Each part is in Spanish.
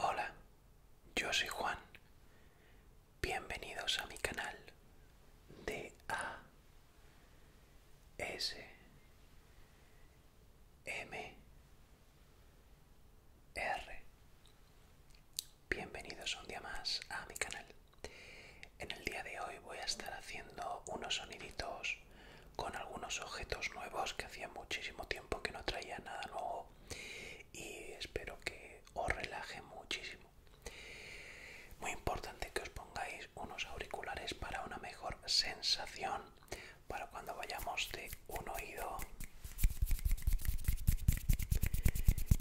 Hola, yo soy Juan. Bienvenidos a mi canal de A S M R bienvenidos un día más a mi canal. En el día de hoy voy a estar haciendo unos soniditos con algunos objetos nuevos que hacía muchísimo tiempo que no traía nada nuevo y espero que os relaje muchísimo. Muy importante que os pongáis unos auriculares para una mejor sensación para cuando vayamos de un oído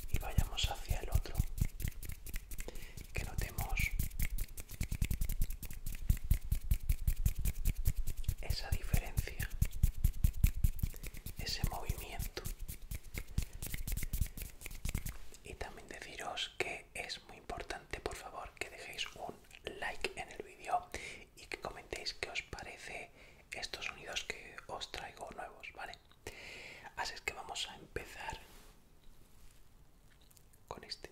y vayamos hacia el otro que notemos esa diferencia ese movimiento y también deciros que es muy importante por favor que dejéis un like en el vídeo y que comentéis qué os parece estos sonidos que os traigo nuevos vale Así es que vamos a empezar con este.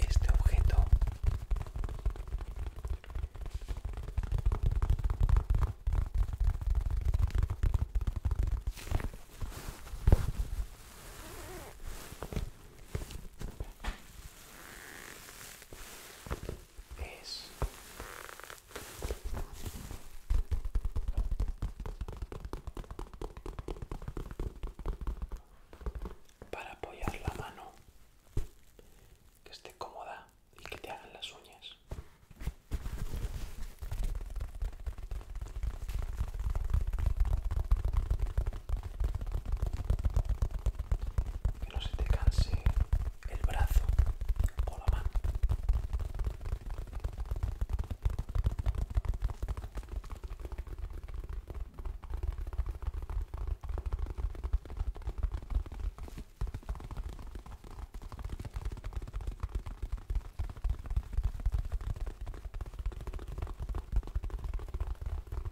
Este objeto es para apoyar la mano que esté cómoda y que te hagan las uñas que no se te canse el brazo o la mano.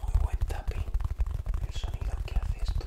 Muy buen tapping, el sonido que hace esto.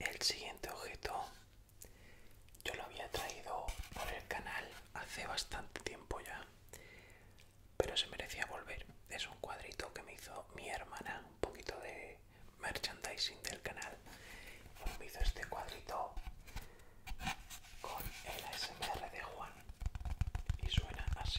El siguiente objeto yo lo había traído por el canal hace bastante tiempo ya, pero se merecía volver. Es un cuadrito que me hizo mi hermana, un poquito de merchandising del canal. Pues me hizo este cuadrito con el ASMR de Juan y suena así.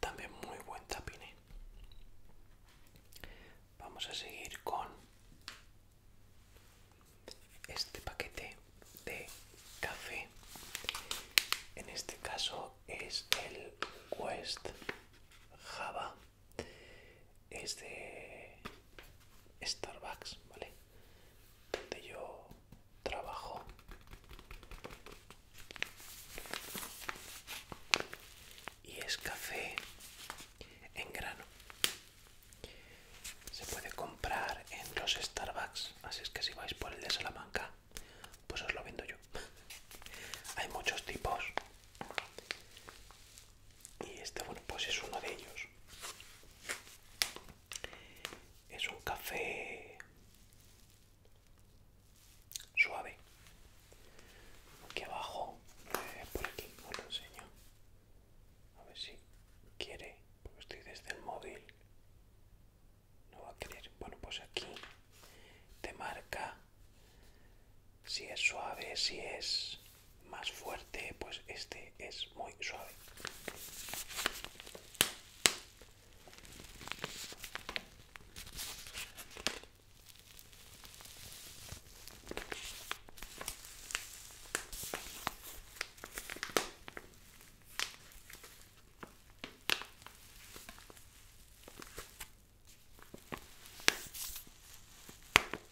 También muy buen tapine. Vamos a seguir con este paquete de café. En este caso es el West Java es de Starbucks, ¿vale? Donde yo trabajo. Y es café en grano. Se puede comprar en los Starbucks, así es que si vais por el de Salamanca, pues os lo vendo yo. Hay muchos tipos y este bueno pues es uno de ellos es un café suave aquí abajo eh, por aquí lo enseño a ver si quiere porque estoy desde el móvil no va a querer bueno pues aquí te marca si es suave, si es más fuerte, pues este es muy suave.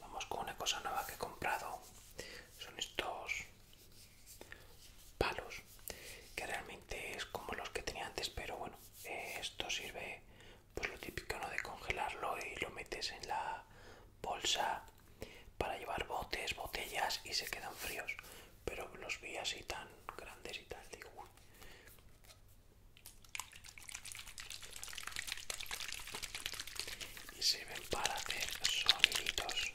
Vamos con una cosa nueva que he comprado. Son estos palos. Que realmente es como los que tenía antes, pero bueno, esto sirve pues lo típico ¿no? de congelarlo y lo metes en la bolsa para llevar botes, botellas y se quedan fríos. Pero los vi así tan grandes y tal, digo, y ven para hacer soniditos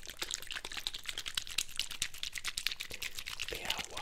de agua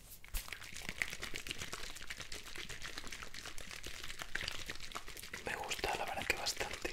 Me gusta la verdad que bastante.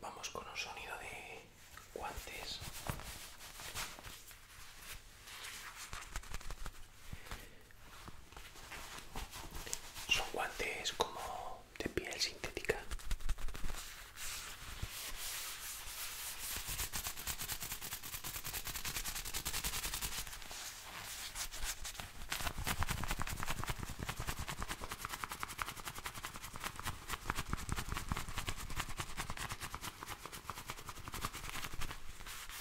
Vamos con un sonido de guantes son guantes como de piel sintética.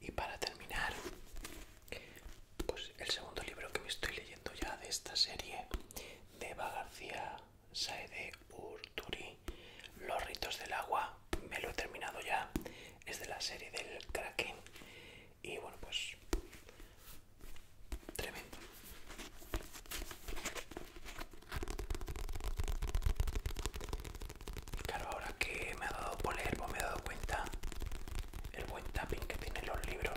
Y para terminar, pues el segundo libro que me estoy leyendo ya de esta serie de Eva García Saede Urturi, Los ritos del agua, me lo he terminado ya, es de la serie del Kraken y bueno pues tremendo claro ahora que me ha dado por pues me he dado cuenta el buen tapping que tienen los libros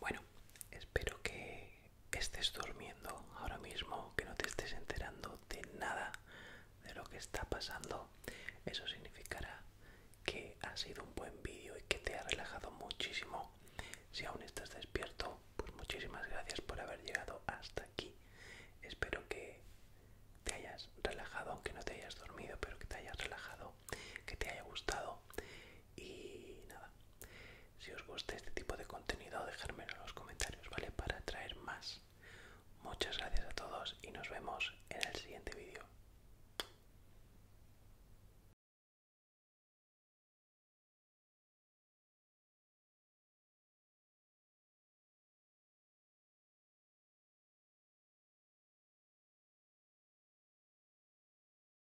Bueno, espero que estés durmiendo ahora mismo, que no te estés enterando de nada de lo que está pasando, eso significará que ha sido un buen vídeo y que te ha relajado muchísimo. Si aún estás despierto, pues muchísimas gracias por haber llegado hasta aquí. Espero que te hayas relajado, aunque no te hayas dormido, pero que te hayas relajado, que te haya gustado y nada, si os gusta este tipo de contenido, dejadme en los comentarios, ¿vale? Para traer más. Muchas gracias a todos y nos vemos en el siguiente vídeo.